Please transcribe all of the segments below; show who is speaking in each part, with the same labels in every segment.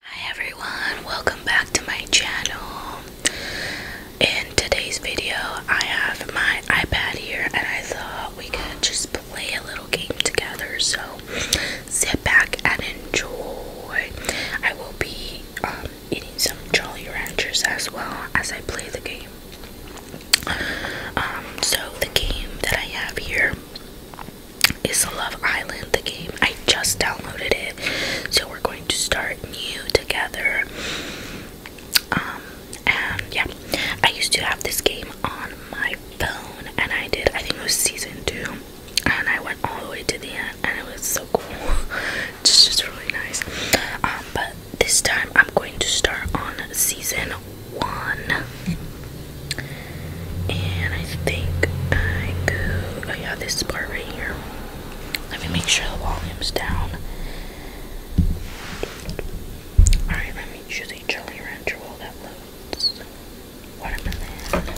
Speaker 1: Hi everyone, welcome back to my channel. In today's video, I have my iPad here and I thought we could just play a little game together. So sit back and enjoy. I will be um, eating some Jolly Ranchers as well as I play the game. Um, so the game that I have here is Love Island, the game. I just downloaded it, so we're going to start new together. Um, and yeah, I used to have this game on my phone, and I did, I think it was season two, and I went all the way to the end, and it was so cool. it's just really nice. Um, but this time I'm going to start on season one. And I think I go, oh yeah, this part right here. Let me make sure the volume's down. Alright, let me choose a jelly ranch roll that loads Okay,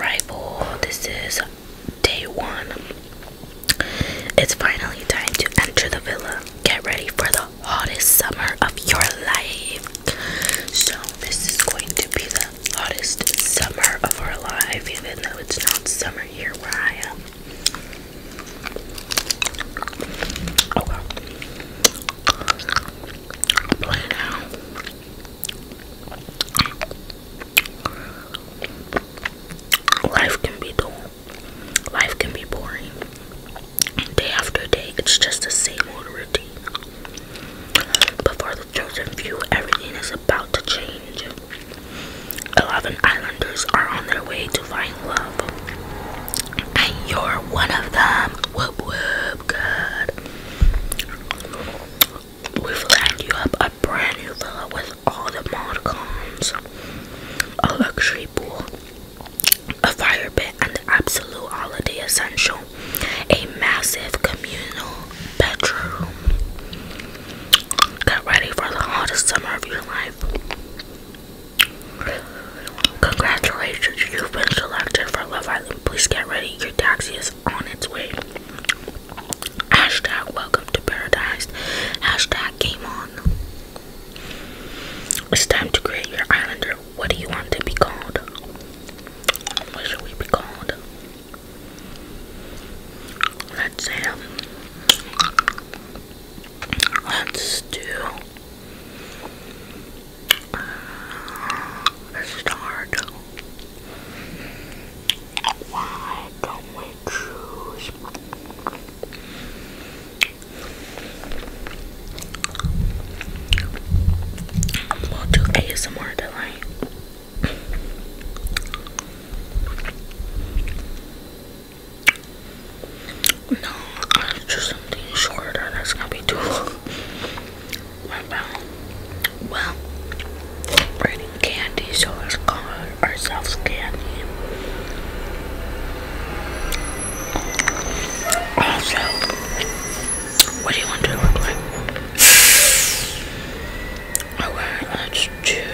Speaker 1: arrival. This is day one. It's finally time to enter the villa. Get ready for the hottest summer of your life. So, this is going to be the hottest summer of our life, even though it's not summer here where I am. Okay. Play now. Life can be dull. Life can be boring. Day after day, it's just the same old routine. But for the chosen few, everything is about to change. Eleven islanders are on their way to find love. And you're one of them. Whoop whoop good. We've lined you up a brand new villa with all the mod cons. A luxury pool, a fire pit, and absolute holiday essential a massive communal bedroom. Get ready for the hottest summer of your life. Congratulations, you've been selected for Love Island. Please get ready, your taxi is on its way. Hashtag welcome to paradise. Hashtag game on. It's time to create your islander. What do you want to be called? What should we be called? Let's say, um, let's do uh, start. Why don't we choose? We'll do ASMR tonight. No, I'll do something shorter. That's gonna be too long. What about? Well, we candy, so let's call ourselves candy. Also, what do you want to look like? Alright, let's do.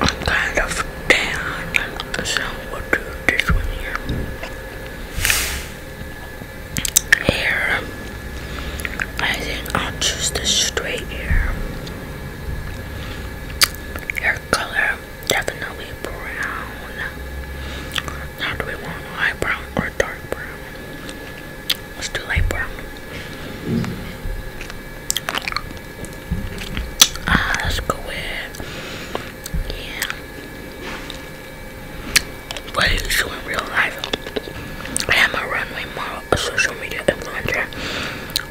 Speaker 1: I'm kind of down, so we'll do this here. Hair. I think I'll choose the straight hair. Hair color, definitely brown. Now do we want light brown or dark brown? Let's do light brown. Ah, let's go with yeah. What do you do in real life? I am a runway model, a social media influencer,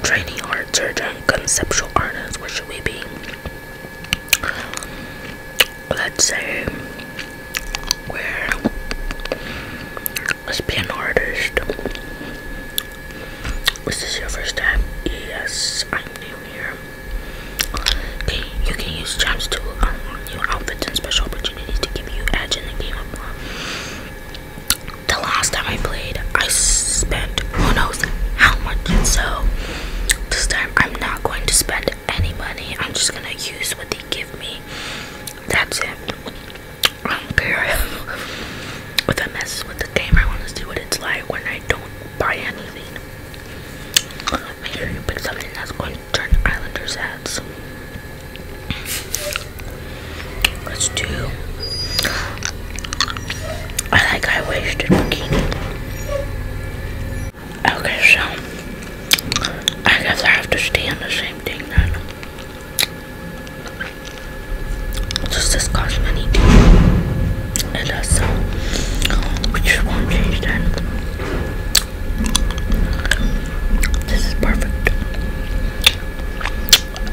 Speaker 1: training art surgeon, conceptual artists, what should we be? Let's say we're let's be an artist. Is this your first time? Yes, I'm new here. you can use charms to unlock um, new outfits and special opportunities to give you edge in the game the last time I played, I spent who knows how much. So this time I'm not going to spend any money. I'm just gonna use what they give me. That's it. I do if I mess with the game. I want to see what it's like when I don't buy anything. Make sure you pick something that's going to turn Islanders' heads. Let's do. I like I high waisted bikini. Okay, so I guess I have to stay on the same thing then. Just this cost money? It does so. We just won't change that. This is perfect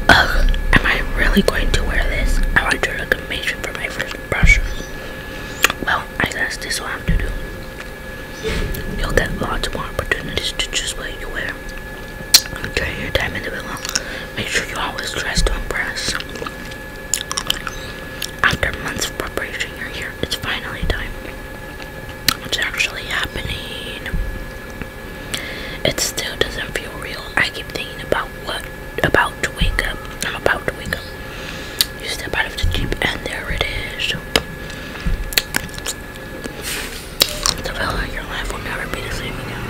Speaker 1: am I really going to wear this? I want your recommendation for my first brush. Well, I guess this is what I have to do. You'll get lots more opportunities to choose what you wear. During your time into the villa, make sure you always dress to impress. After months of preparation, you're here. It's finally time. It's actually happening. It still doesn't feel real. I keep thinking about what about to wake up. I'm about to wake up. You step out of the jeep and there it is. The fella your life will never be the same again.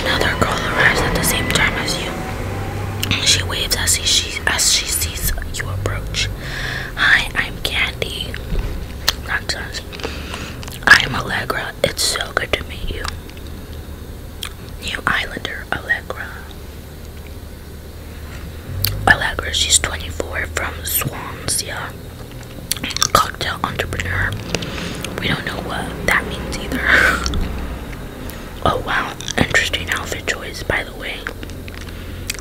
Speaker 1: Another girl arrives at the same time as you. She waves as she as she sees you approach. Hi, I'm Candy. Nonsense. I'm Allegra it's so good to meet you. New Islander Allegra. Allegra, she's 24 from Swansea. Cocktail entrepreneur. We don't know what that means either. oh wow, interesting outfit choice, by the way.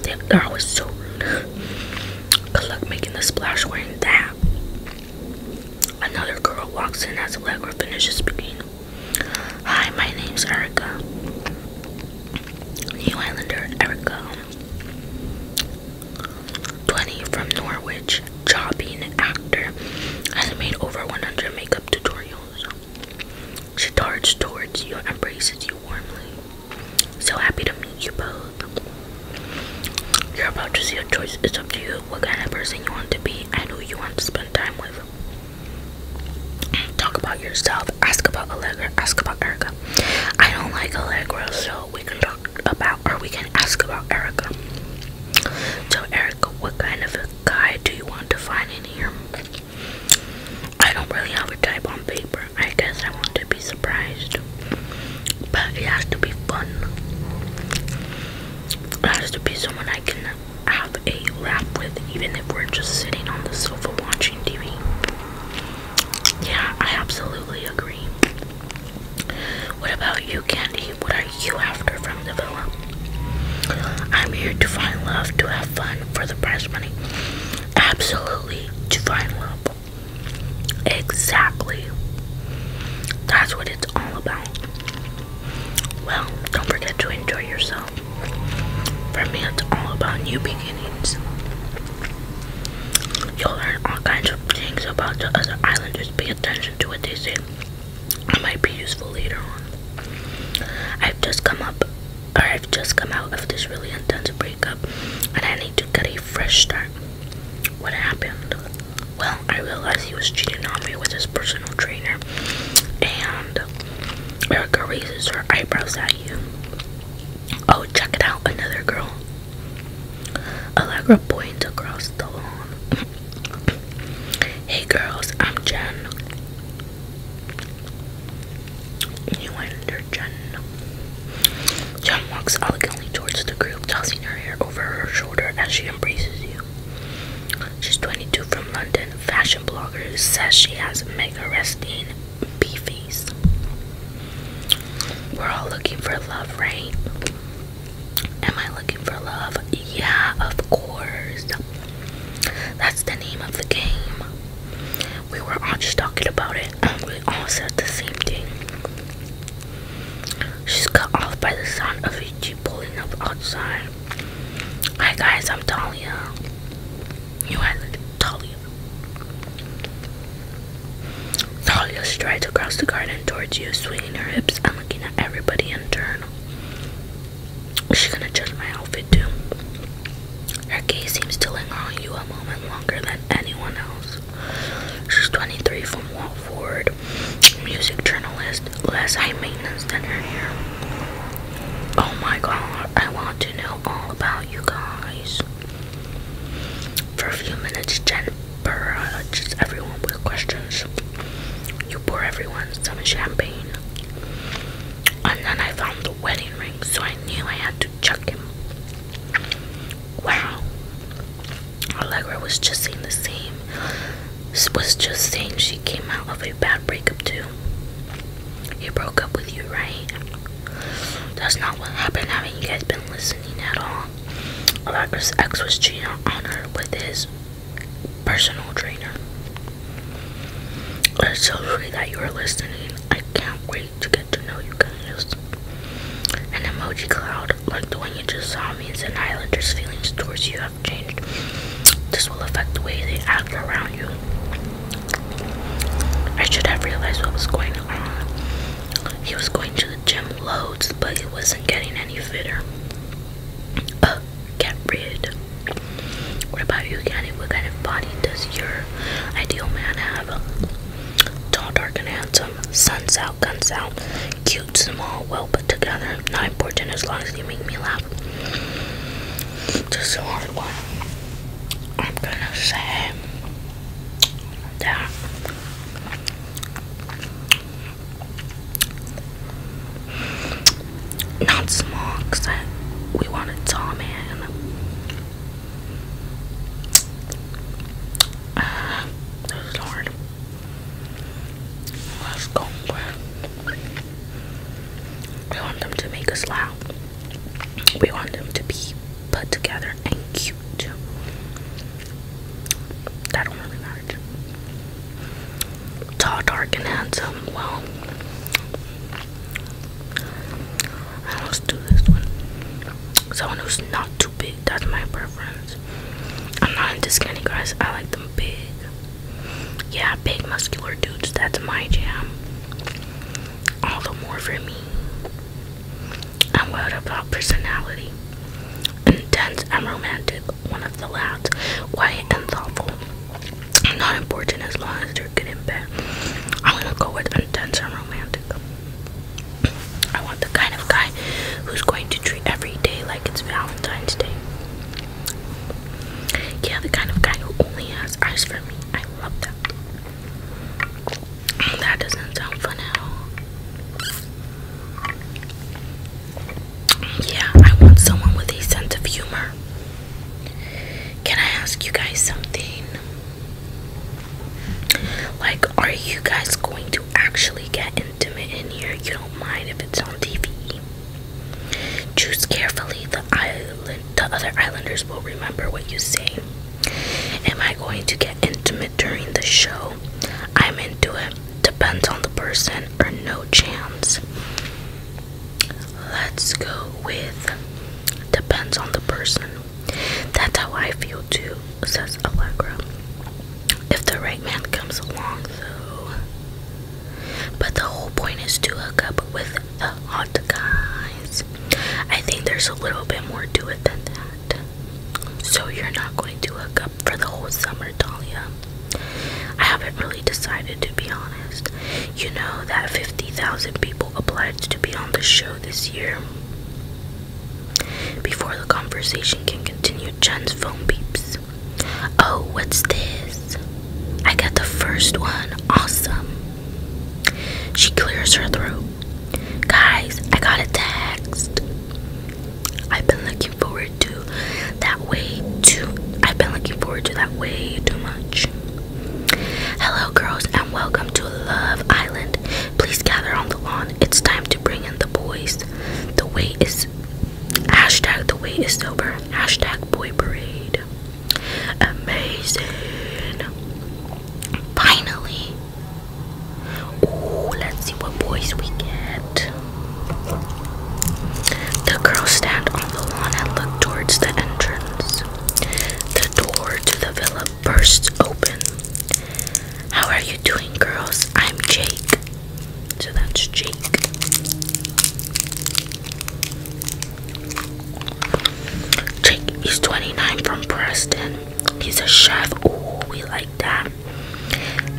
Speaker 1: They, girl was so rude. Good luck making the splash wearing that. Another girl walks in as Allegra finishes speaking. Hi, my name's Erica. New Islander Erica. 20 from Norwich. Job actor. Has made over 100 makeup tutorials. She darts towards you embraces you warmly. So happy to meet you both. You're about to see a choice. It's up to you what kind of person you want to be and who you want to spend time with. Talk about yourself. Ask about Allegra. Ask about Erica. I don't like Allegra, so we can talk about or we can ask about Erica. So Erica, what kind of guy do you want to find in here? I don't really have a type on paper. I guess I want to be surprised but it has to be fun. It has to be someone I can have a laugh with, even if we're just sitting on the sofa watching TV. Yeah, I absolutely agree. What about you, Candy? What are you after from the villa? I'm here to find love, to have fun for the prize money. Absolutely, to find love. Exactly. That's what it's all about. Well, don't forget to enjoy yourself. For me, it's all about new beginnings. You'll learn all kinds of things about the other islanders. Pay attention to what they say. It might be useful later on. I've just come up, or I've just come out of this really intense breakup, and I need to get a fresh start what happened? Well, I realized he was cheating on me with his personal trainer, and Erica raises her eyebrows at you. Oh, check it out, another girl. Allegra points across the lawn. hey, girls, I'm Jen. You and your Jen. John walks elegantly towards the group, tossing her hair over her shoulder as she embraces you. She's 22 from London. Fashion blogger who says she has mega resting beefies. We're all looking for love, right? Am I looking for love? Yeah, of course. That's the name of the game. We were all just talking about it, and we all said the same thing. She's cut off by the sound of a jeep pulling up outside. Hi guys, I'm Talia. You had Talia. Talia strides across the garden towards you, swinging her hips and looking at everybody in turn. Is she gonna judge my outfit too? Her gaze seems to linger on you a moment longer than anyone else. She's 23 from Watford, music journalist, less high maintenance than her hair. Oh my god, I want to know all about you guys. For a few minutes, Jen just everyone with questions. You pour everyone some champagne. And then I found the wedding ring, so I knew I had to check him wow Allegra was just saying the same was just saying she came out of a bad breakup too he broke up with you right that's not what happened haven't you guys been listening at all Allegra's ex was cheating on her with his personal trainer. I'm so sweet that you are listening. I can't wait to get to know you guys. An emoji cloud, like the one you just saw, means an islander's feelings towards you have changed. This will affect the way they act around you. I should have realized what was going on. He was going to the gym loads, but he wasn't getting any fitter. get rid. What about you, Kenny? What kind of body does your ideal man have? Tall, dark, and handsome. Sun's out, guns out. Cute, small, well put together. Not important as long as you make me laugh. Just a hard one. I'm gonna say that. Not small, because we wanted tall man. Uh, this is hard. Let's go. We want them to make us loud. We want them to be put together and cute. That don't Tall, dark, and handsome. Well, let's do this one. Someone who's not big. That's my preference. I'm not into skinny guys. I like them big. Yeah, big muscular dudes. That's my jam. All the more for me. And what about personality? Intense and romantic. One of the lads. Quiet and thoughtful. Not important as long as they're good in bed. I'm gonna go with intense and romantic. I want the kind of guy who's going to treat every day like it's Valentine's Day. Yeah, the kind of guy who only has eyes for me. I love that. That doesn't sound fun at all. Yeah, I want someone with a sense of humor. Can I ask you guys something? Like, are you guys going to actually get intimate in here? You don't mind if it's on TV. Choose carefully. The the other islanders will remember what you say. Am I going to get intimate during the show? I'm into it. Depends on the person or no chance. Let's go with depends on the person. That's how I feel too, says Allegra. If the right man comes along, though. But the whole point is to hook up with the hot guys. I think there's a little bit more to it than that. So you're not going to hook up for the whole summer, Dalia. I haven't really decided, to be honest. You know that 50,000 people applied to be on the show this year. Before the conversation can continue, Jen's phone beeps. Oh, what's this? I got the first one. Awesome. She clears her throat. Guys, I got a text. I've been looking forward to that way too. I've been looking forward to that way too much. Hello, girls welcome to Love Island. Please gather on the lawn. It's time to bring in the boys. The way is hashtag the way is sober. Hashtag boy parade. Amazing. Finally. Ooh, let's see what boys we get. The girls stand on the lawn and look towards the entrance. The door to the villa bursts open. How are you doing, girls? I'm Jake. So that's Jake. Jake, he's 29 from Preston. He's a chef. Ooh, we like that.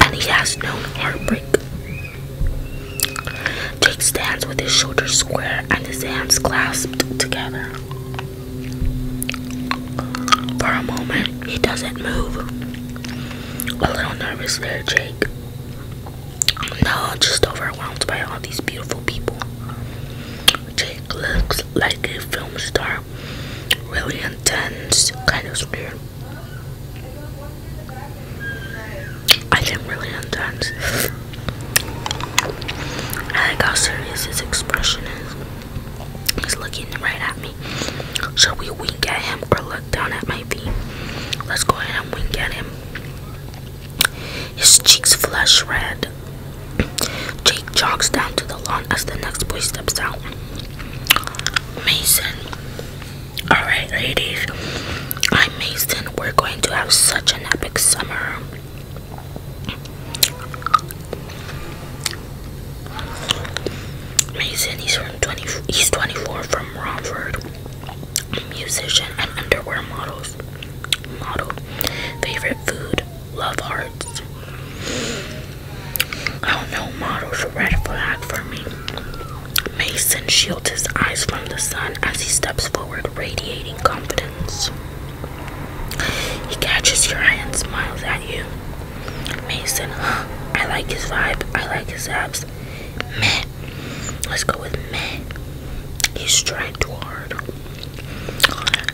Speaker 1: And he has no heartbreak. Jake stands with his shoulders square and his hands clasped together. For a moment, he doesn't move. A little nervous there, Jake. No, just overwhelmed by all these beautiful people. Jake looks like a film star. Really intense, kind of weird. I think really intense. I like how serious his expression is. He's looking right at me. Should we wink at him or look down at my feet? Let's go ahead and wink at him. His cheeks flush red. Jake jogs down to the lawn as the next boy steps out. Mason. Alright, ladies. I'm Mason. We're going to have such an epic summer. Mason, he's from 20, he's 24 from Romford. Musician and underwear models. Model. Favorite food, love hearts. Oh no, model's red flag for me. Mason shields his eyes from the sun as he steps forward, radiating confidence. He catches your eye and smiles at you. Mason, huh? I like his vibe. I like his abs. Meh. Let's go with meh. He's trying too hard.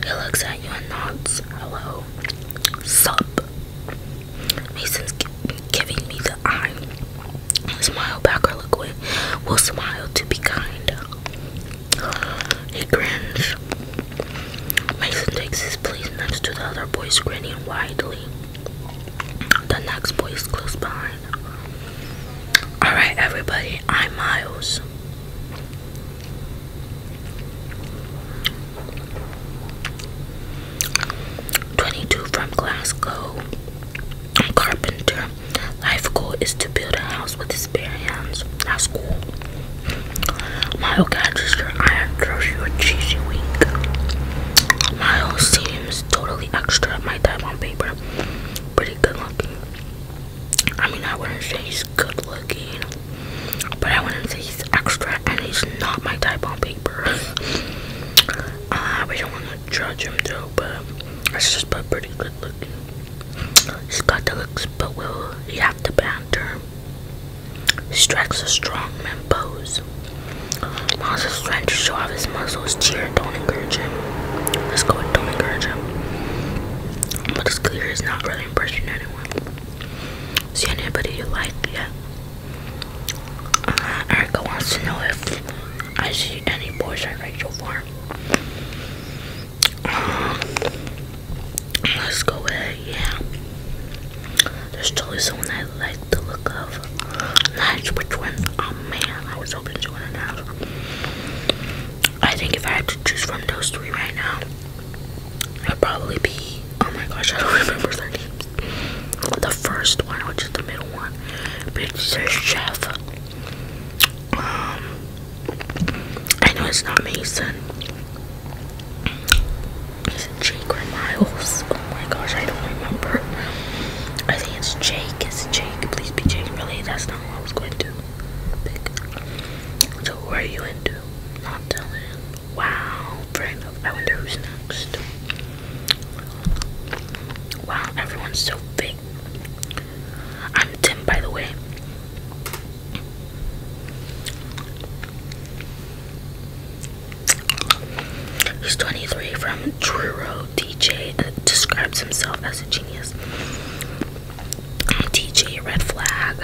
Speaker 1: He looks at you and nods. Hello. Sup. Mason's giving me the eye. Smile back or look away. We'll smile to be kind. He grins. Mason takes his place next to the other boys, grinning widely. The next boy is close behind. Alright, everybody, I'm Miles. Twenty-two from Glasgow. Carpenter. Life goal is to build a house with his bare hands. That's cool. Mario catches your eye you a cheesy wink. Mario seems totally extra my time on paper. Pretty good looking. I mean, I wouldn't say he's good looking, but I wouldn't say he's extra and he's not my type on paper. uh, don't want to judge him though, but let just put pretty good. He's got the looks, but will he have the banter? He Strikes a strong man pose. Miles is trying to show off his muscles. Cheer, don't encourage him. Let's go don't encourage him. But it's clear he's not really impressing anyone. See anybody you like Yeah. Uh, Erica wants to know if I see any boys at Rachel Farm let's go ahead, yeah. There's totally someone I like the look of. Not sure which one. Oh man, I was hoping to one of I think if I had to choose from those three right now, it'd probably be. Oh my gosh, I don't remember their names. The first one, which is the middle one, but it's a Um, I know it's not Mason. Is Jake or Miles? Oh my gosh, I don't remember. I think it's Jake. It's Jake. Please be Jake. Really, that's not who I was going to pick. So, who are you into? Not Dylan. Wow, fair enough. I wonder who's next. Wow, everyone's so big. I'm Tim, by the way. He's 23 from Truro. DJ uh, describes himself as a genius. DJ Red Flag.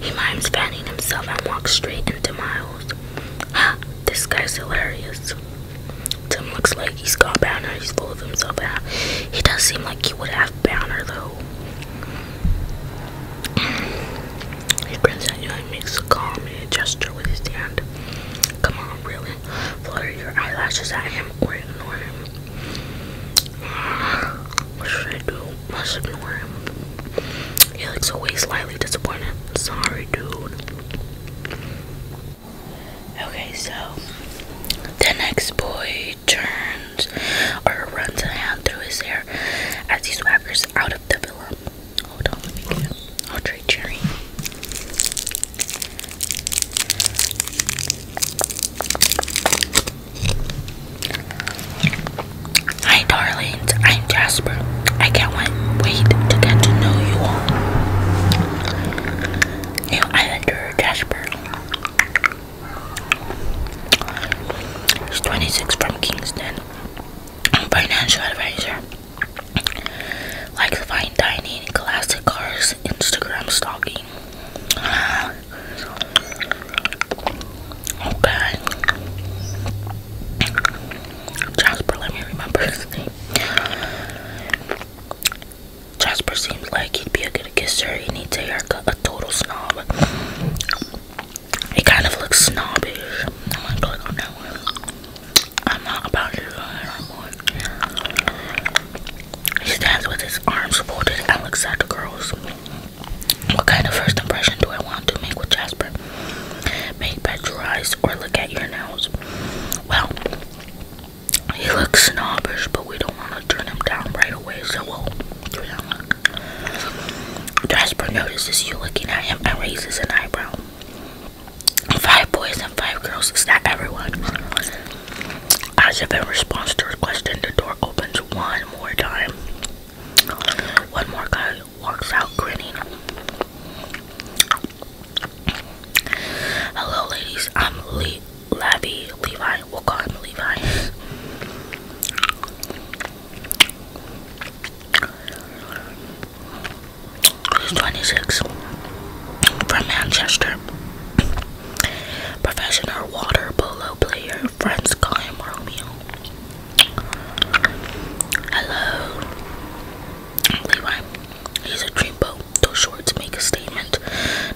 Speaker 1: He mimes fanning himself and walks straight into Miles. Ah, this guy's hilarious. Tim looks like he's gone bad he's full of himself. He does seem like he would have banner though. He grins at you and a gesture with his hand. Come on, really. Flutter your eyelashes at him or ignore him. what should I do? let ignore him. He looks away, slightly disappointed. Sorry, dude. Okay, so the next boy turns or runs a hand through his hair as he swaggers out of the villa. Hold on, let me get it. i Hi, darlings. I'm Jasper. I can't wait to get to know you all. New Islander Jasper. He's 26 from Kingston. Financial advisor. Likes fine dining, classic cars, Instagram stalking. Okay. Jasper, let me remember his name. Jasper seems like he'd be a good kisser. He needs a haircut, a total snob. He kind of looks snobbish. I'm not going about to go that one. He stands with his arms folded and looks at the girls. What kind of first impression do I want to make with Jasper? Make bad your eyes or look at your nails. Well, he looks snobbish, but we don't want to turn him down right away, so we'll turn him down. Jasper notices you looking at him and raises an eyebrow. Five boys and five girls, is that everyone? As if in response to a question, the door opens one more time. One more guy walks out grinning. Hello, ladies. I'm Lee. Lavi, Levi, we'll call him Levi. He's 26 from Manchester. Professional water polo player. Friends call him Romeo. Hello, Levi. He's a dreamboat too short to make a statement.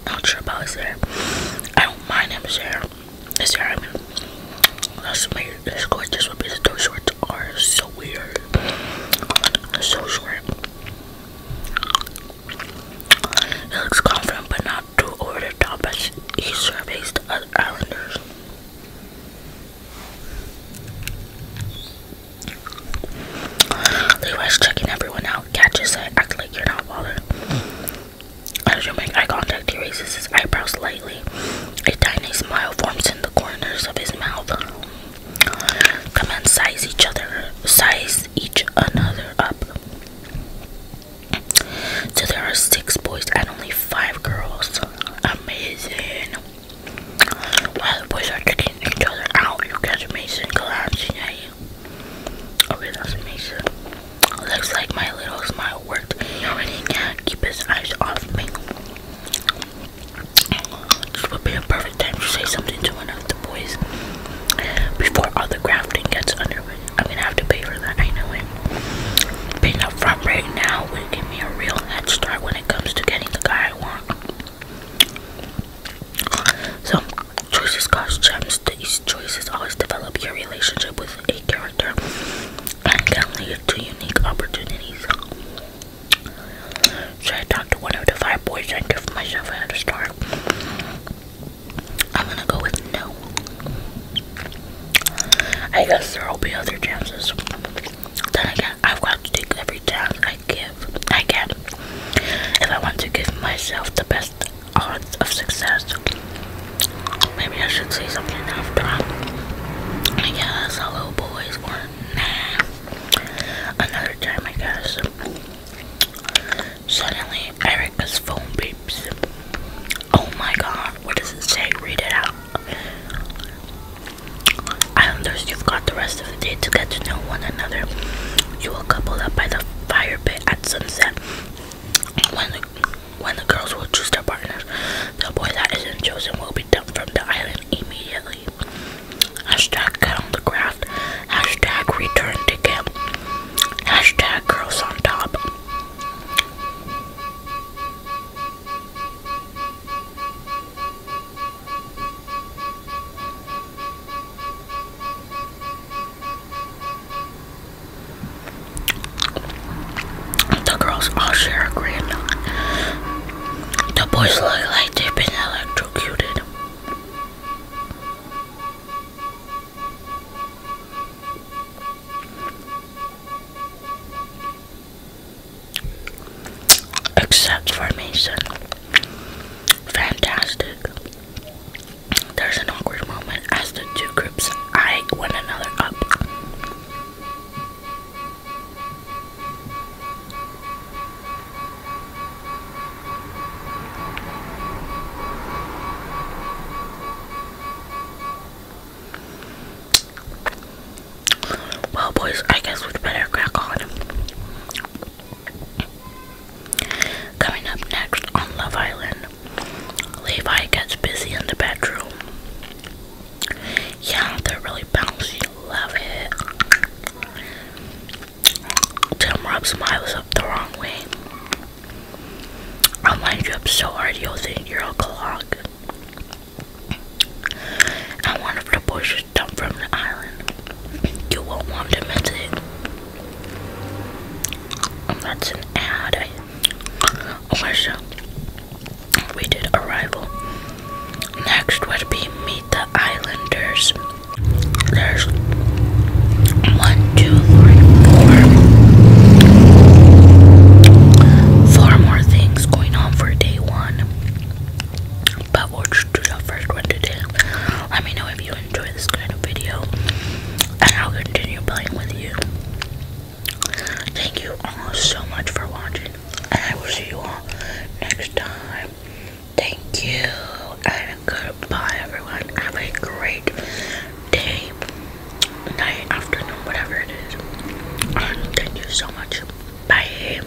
Speaker 1: Not sure about his hair. I don't mind him, hair. His hair, I mean. That's weird. That's gorgeous. What these toe shorts are so weird. They're so short. He looks confident, but not too over the top as he surveys the other islanders. Levi's checking everyone out catches it, act like you're not bothered. As you make eye contact, he raises his eyebrows slightly. A tiny smile forms in the corners of his mouth. Come and size each other, size each another up. So there are six boys and only five girls. Amazing. While the boys are kicking each other out, you catch Mason collapsing Okay, that's nice. Looks like my little smile worked. He already can keep his eyes off me. This would be a perfect time to say something to one of the boys before all the grafting gets underway. I'm gonna have to pay for that, I know it. Being up front right now will give me a real head start when it comes to getting the guy I want. So, Choices cost gems. These choices always develop your relationship with a character and can lead to unique opportunities. So I talked to one of the five boys I give myself another star. I'm gonna go with no. I guess there will be other chances. Then again, I've got to take every chance I give, I I want to give myself the best odds of success, maybe I should say something after. I guess hello boys or Another time, I guess. Suddenly, Erica's phone beeps. Oh my god, what does it say? Read it out. Islanders, you got the rest of to get to know one another. You will couple up by the fire pit at sunset. When the, girls will choose their partners, the boy that isn't chosen will be dumped from the island immediately. Hashtag get on the craft. Hashtag return to camp. Hashtag girls on top. The girls all share a grin. The boys look like they've been electrocuted. Except for Mason. Fantastic. There's an awkward moment as the two groups eye one another up. Well, boys, I guess we'd better crack on. Coming up next on Love Island, Levi gets busy in the bedroom. Yeah, they're really bouncy. Love it. Tim rubs Miles up the wrong way. I'll wind you up so hard you'll think you're a clog. And one of the boys is from the island. You won't want to miss it. that's an ad. Or oh so. We did Arrival. Next would be Meet the Islanders. There's one, two, three, four. Four more things going on for day one but we'll do the first one today. Let me know if you enjoy this kind of video, and I'll continue playing with you. Thank you all so much for watching, and I will see you all next time. Thank you, and goodbye, everyone. Have a great day, night, afternoon, whatever it is. thank you so much. Bye.